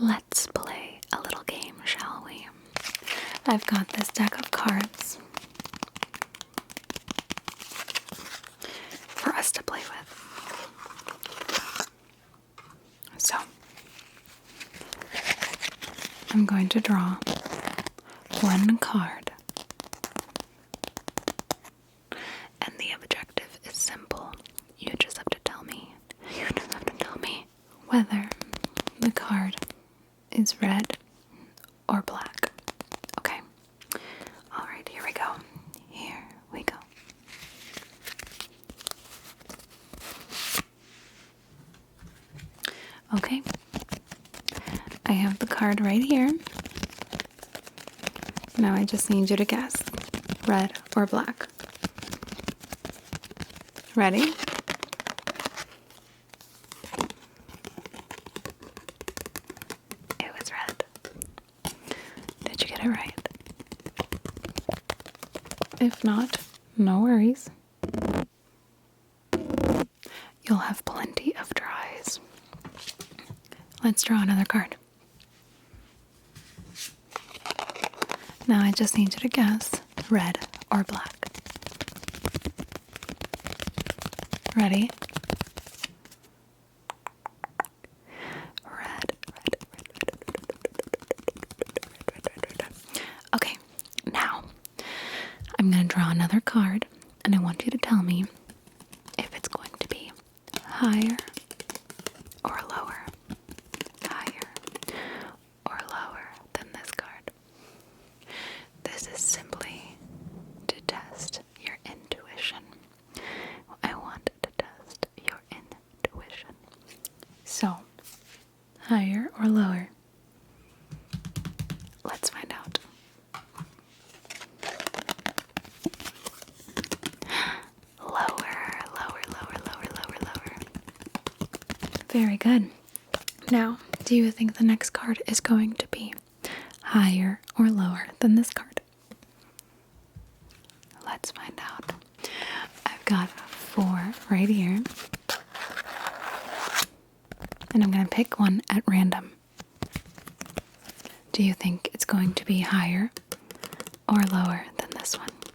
Let's play a little game, shall we? I've got this deck of cards for us to play with. So, I'm going to draw one card. And the objective is simple you just have to tell me. You just have to tell me whether the card is red or black. Okay. All right, here we go. Here we go. Okay. I have the card right here. Now I just need you to guess red or black. Ready? It was red. Did you get it right? If not, no worries. You'll have plenty of tries. Let's draw another card. Now I just need you to guess red or black. Ready? Red, Okay, now I'm going to draw another card and I want you to tell me if it's going to be higher or lower higher, or lower than this card. This is simply to test your intuition. I want to test your intuition. So, higher or lower? Let's find out. Lower, lower, lower, lower, lower, lower. Very good. Now, do you think the next card is going to be higher or lower than this card? Let's find out. I've got four right here. And I'm going to pick one at random. Do you think it's going to be higher or lower than this one?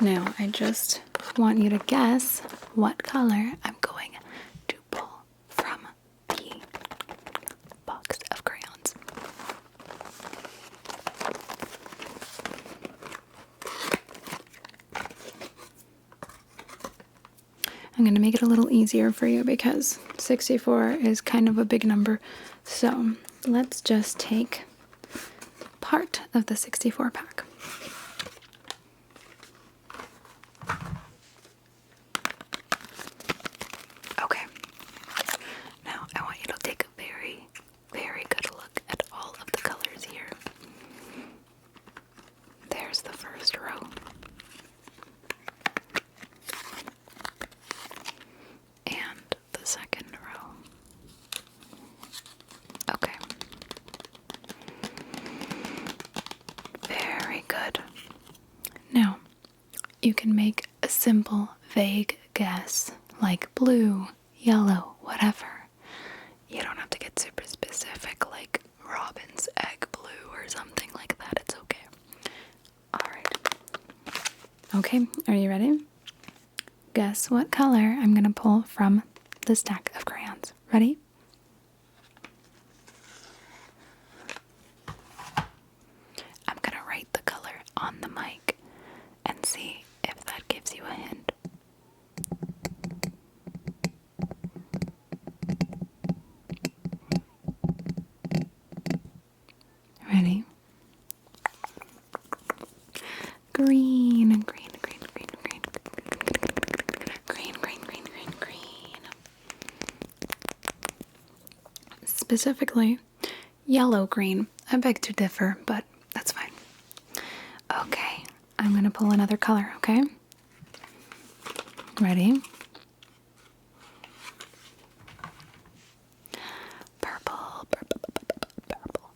Now, I just want you to guess what color I'm going to pull from the box of crayons. I'm going to make it a little easier for you because 64 is kind of a big number. So let's just take part of the 64 pack. Okay, now I want you to take a very, very good look at all of the colors here. There's the first row and the second row. Okay. Very good. Now, you can make a simple, vague guess like blue, yellow, whatever. You don't have to get super specific like robin's egg blue or something like that. It's okay. Alright. Okay, are you ready? Guess what color I'm going to pull from the stack of crayons. Ready? I'm going to write the color on the mic and see if that gives you a hint. Ready? Green, green, green, green, green, green, green, green, green, green, green. Specifically, yellow green. I beg to differ, but that's fine. Okay, I'm gonna pull another color, okay? Ready? Purple, purple, purple, purple, purple,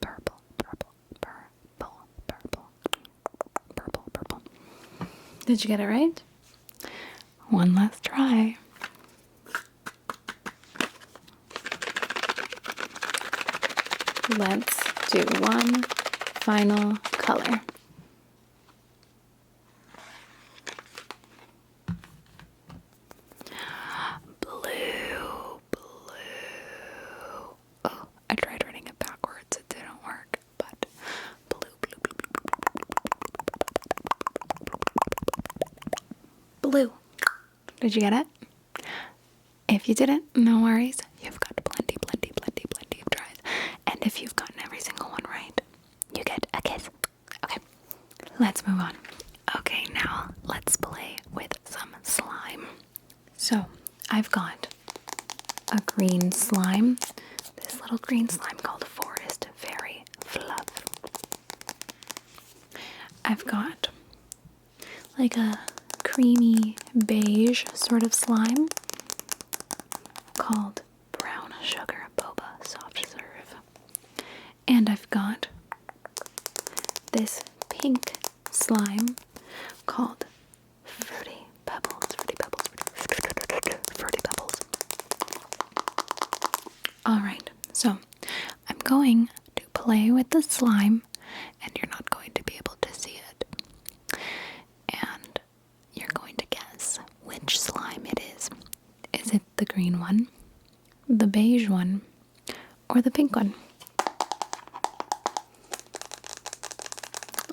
purple, purple, purple, purple, purple. Did you get it right? One last try. Let's do one final color. Blue, blue. Oh, I tried writing it backwards, it didn't work, but blue, blue, blue, blue. Blue. Did you get it? If you didn't, no worries. You've got plenty, plenty, plenty, plenty of tries. And if you've gotten every single one right, you get a kiss. Okay, let's move on. Okay, now let's play with some slime. So, I've got a green slime, this little green slime called Forest Fairy Fluff. I've got like a creamy beige sort of slime called Brown Sugar Boba Soft Serve. And I've got this pink slime called Fruity Pebbles. Fruity Pebbles. Fruity, Pebbles. Alright, so I'm going to play with the slime, and you're not going to be able to see it. And you're going to guess which slime it is. Is it the green one, the beige one, or the pink one.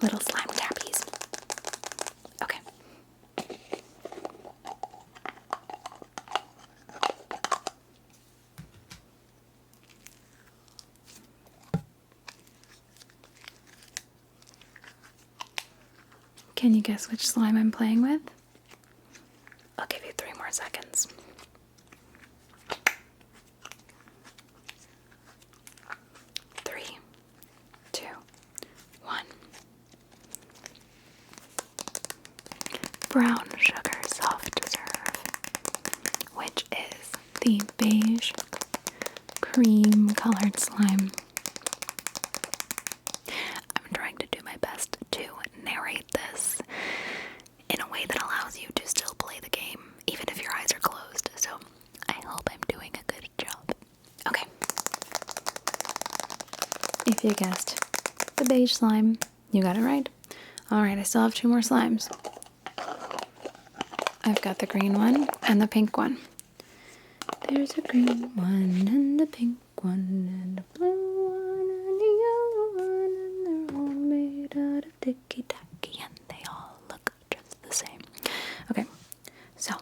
Little slime tappies. Okay. Can you guess which slime I'm playing with? I'll give you three more seconds. Three, two, one. Brown sugar soft serve, which is the beige cream colored slime. I'm trying to do my best to narrate this in a way that allows you to still play the game even if your eyes are closed. So I hope I'm doing a good job. Okay. If you guessed the beige slime, you got it right. Alright, I still have two more slimes. I've got the green one and the pink one. There's a green one and a pink one and a blue one and a yellow one, and they're all made out of ticky ducky and they all look just the same. Okay, so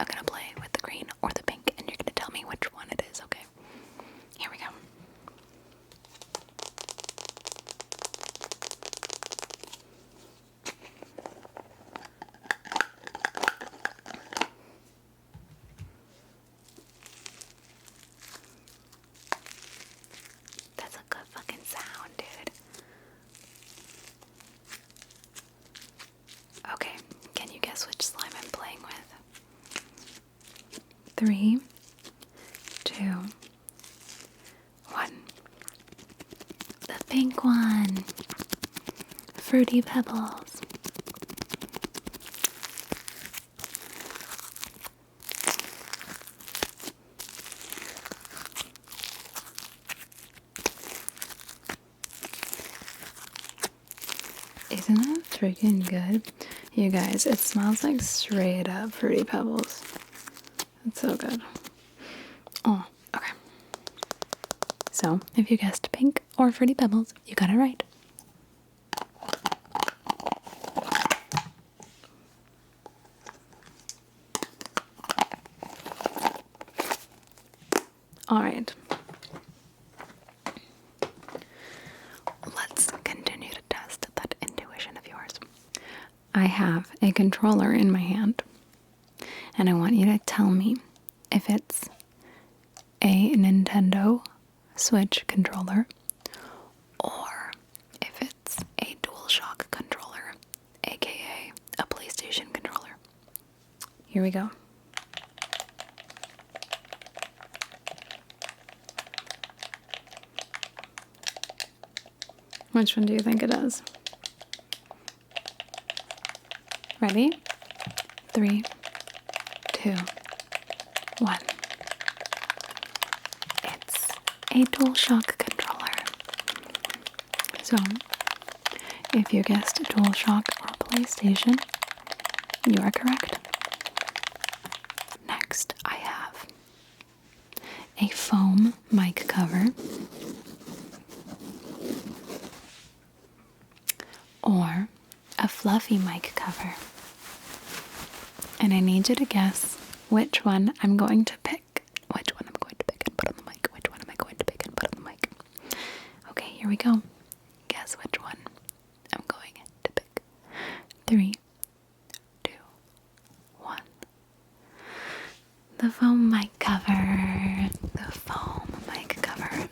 I'm gonna play with the green or the pink, and you're gonna tell me which one it is, okay? Here we go. That's a good fucking sound, dude. Okay, can you guess which slime I'm playing with? Three, two, one. The pink one. Fruity Pebbles. Isn't that freaking good? You guys, it smells like straight up fruity pebbles. That's so good. Oh, okay. So, if you guessed pink or fruity pebbles, you got it right. All right. Let's continue to test that intuition of yours. I have a controller in my hand, and I want you to tell me if it's a Nintendo Switch controller, or if it's a DualShock controller, aka a PlayStation controller. Here we go. Which one do you think it is? Ready? Three, two, one. It's a DualShock controller. So, if you guessed DualShock or PlayStation, you are correct. Next, I have a foam mic cover or a fluffy mic cover. And I need you to guess which one I'm going to pick. Which one I'm going to pick and put on the mic. Which one am I going to pick and put on the mic. Okay, here we go. Guess which one I'm going to pick. Three, two, one. The foam mic cover. The foam mic cover.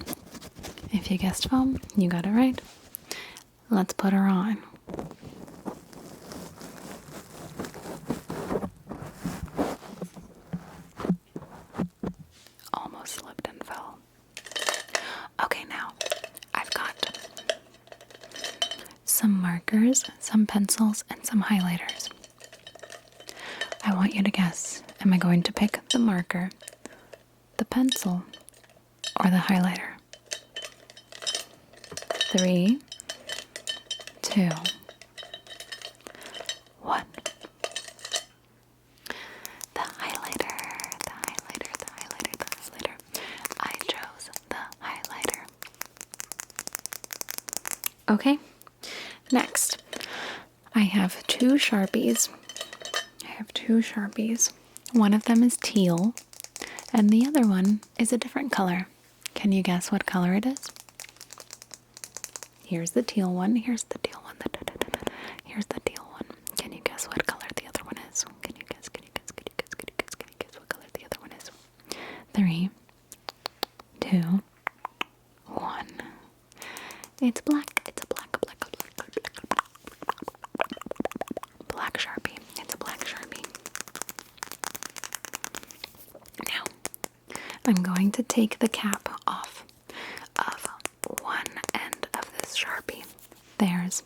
If you guessed foam, you got it right. Let's put her on. Almost slipped and fell. Okay, now I've got some markers, some pencils, and some highlighters. I want you to guess am I going to pick the marker, the pencil, or the highlighter. Three, two, one. The highlighter, the highlighter, the highlighter, the highlighter. I chose the highlighter. Okay, next I have two Sharpies. I have two Sharpies. One of them is teal, and the other one is a different color. Can you guess what color it is? Here's the teal one. Here's the teal one. Here's the teal one. Can you guess what color the other one is? Can you guess? Can you guess? Can you guess? Can you guess? Can you guess what color the other one is? Three, two, one. It's black. It's a black, black, black, Black Sharpie. It's a black Sharpie. Now, I'm going to take the cap off of one end of this Sharpie. There's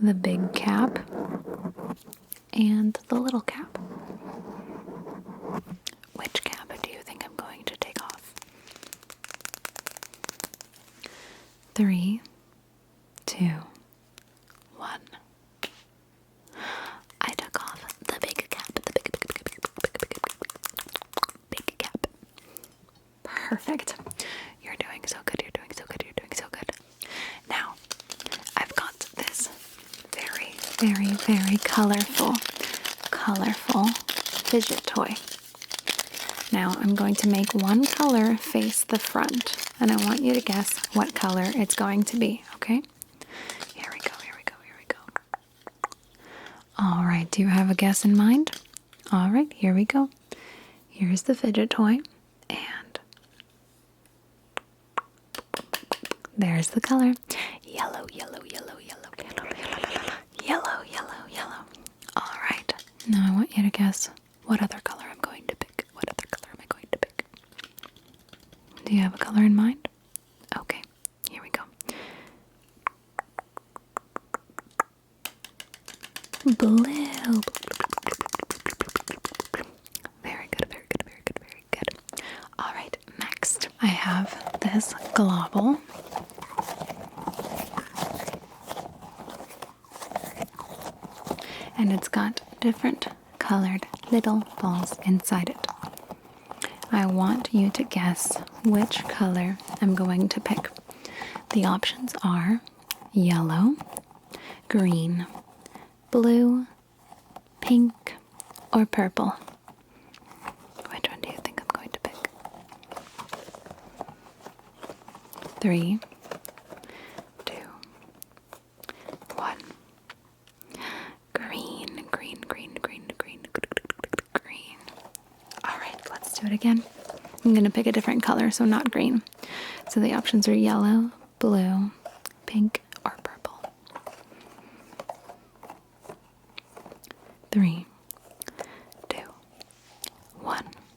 the big cap and the little cap. Which cap do you think I'm going to take off? Three, two, one. I took off the big cap, the big, cap. Perfect. You're doing so good. You're doing so good. You're doing so good. Now, I've got this very, very, very colorful, colorful fidget toy. Now I'm going to make one color face the front, and I want you to guess what color it's going to be, okay? Here we go, here we go, here we go. All right, do you have a guess in mind? All right, here we go. Here's the fidget toy, and there's the color yellow, yellow, yellow, yellow, yellow, yellow, yellow, yellow, yellow. All right, now I want you to guess what other color I'm going to pick? What other color am I going to pick? Do you have a color in mind? Okay, here we go. Blue. Very good, very good, very good, very good. All right, next I have this globule and it's got different colored little balls inside it. I want you to guess which color I'm going to pick. The options are yellow, green, blue, pink, or purple. Which one do you think I'm going to pick? Three, two, one. Green, green, green, green, green, green. All right, let's do it again. I'm going to pick a different color, so not green. So the options are yellow, blue, pink, or purple. Three, two, one.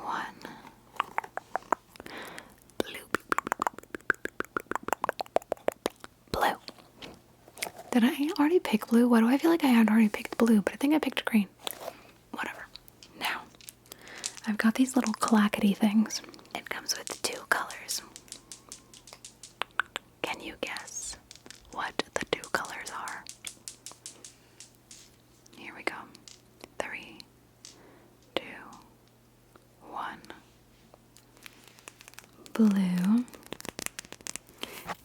one blue blue did I already pick blue? What do I feel like I had already picked blue, but I think I picked green. Whatever. Now, I've got these little clackety things. It comes with two colors. Can you guess what the two colors are? Here we go. Three, two, one. Blue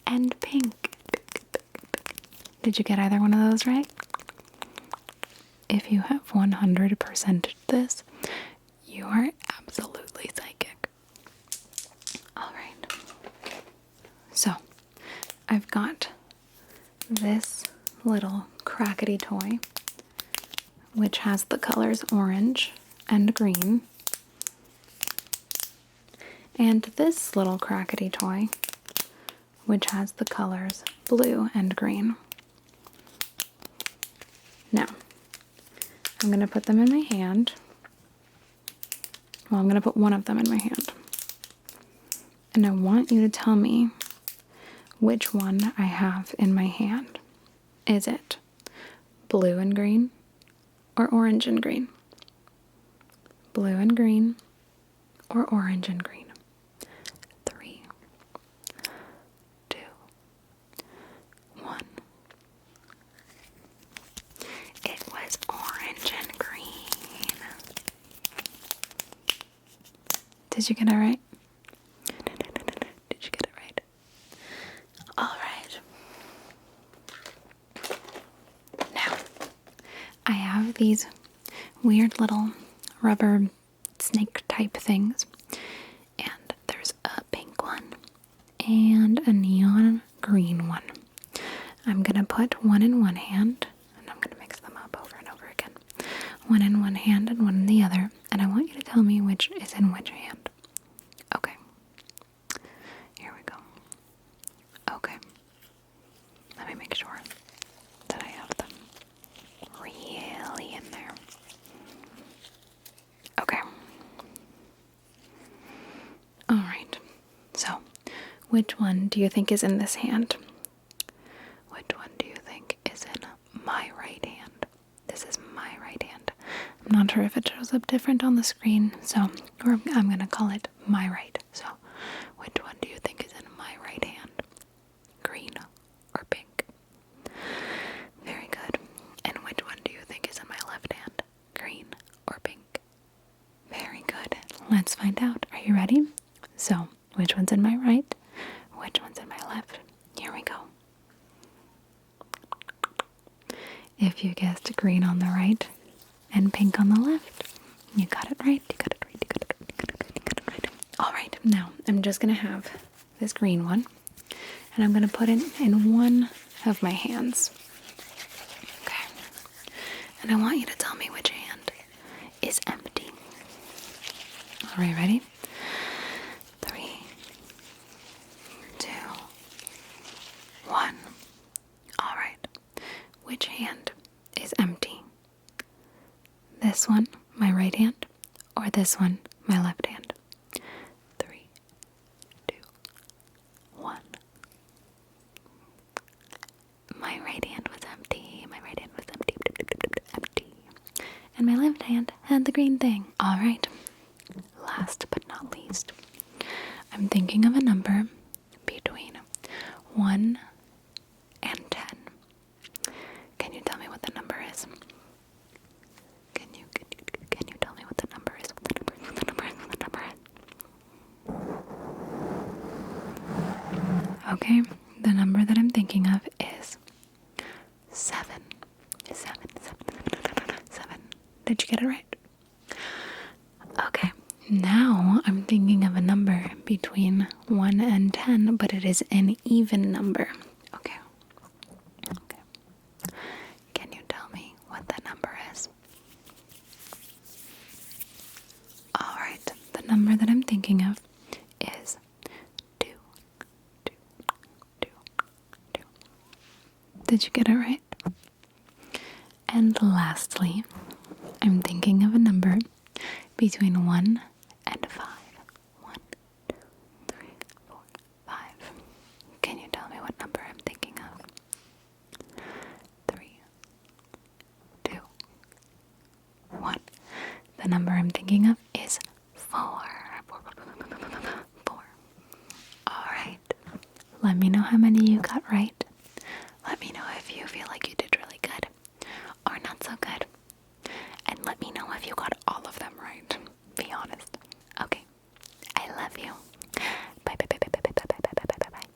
and pink. Did you get either one of those right? If you have 100% this, you are absolutely psychic. All right. So I've got this little crackety toy, which has the colors orange and green. And this little crackety toy, which has the colors blue and green. Now, I'm going to put them in my hand. Well, I'm going to put one of them in my hand and I want you to tell me which one I have in my hand. Is it blue and green or orange and green? Blue and green or orange and green? Three, two, one. It was orange and green. Did you get it right? Did you get it right? All right. Now, I have these weird little rubber snake type things, and there's a pink one and a neon green one. I'm gonna put one in one hand and I'm going to mix them up over and over again. One in one hand and one in the other, and I want you to tell me which is in which hand. Okay. Here we go. Okay. Let me make sure that I have them really in there. Okay. All right. So, which one do you think is in this hand? Which one do you think is in my right hand? This is my right hand. I'm not sure if it shows up different on the screen, so I'm going to call it my right. So, which one do you think is in my right hand? Green or pink? Very good. And which one do you think is in my left hand? Green or pink? Very good. Let's find out. Are you ready? So, which one's in my right? Which one's in my left? Here we go. If you guessed green on the right and pink on the left, you got it right. You got it right. You got it right. All right. Now, I'm just going to have this green one and I'm going to put it in one of my hands. Okay. And I want you to tell me which hand is empty. Alright, ready? Three, two, one. Alright. Which hand is empty? This one, my right hand, or this one, my left hand? Three, two, one my right hand was empty. My right hand was empty. Empty. And my left hand had the green thing. All right. Last but not least, I'm thinking of a number between 1 and 10. Can you tell me what the number is? Can you can you, can you tell me what the number is? the number the number What the number is? Okay, the number that I'm thinking of is seven. Seven, seven, seven, seven. Did you get it right? Okay, now I'm thinking of a number between one and ten, but it is an even number. Okay. Okay. Can you tell me what that number is? All right, the number that I'm thinking of is two, two, two, two. Did you get it right? And lastly, I'm thinking of a number between one and five. One, two, three, four, five. Can you tell me what number I'm thinking of? Three, two, one. The number I'm thinking of is four. Four. Alright. Let me know how many you got right. Let me know if you feel like you did really good or not so good. And let me know if you got all of them right. Be honest. Okay. I love you. Bye bye bye bye bye bye bye bye bye bye.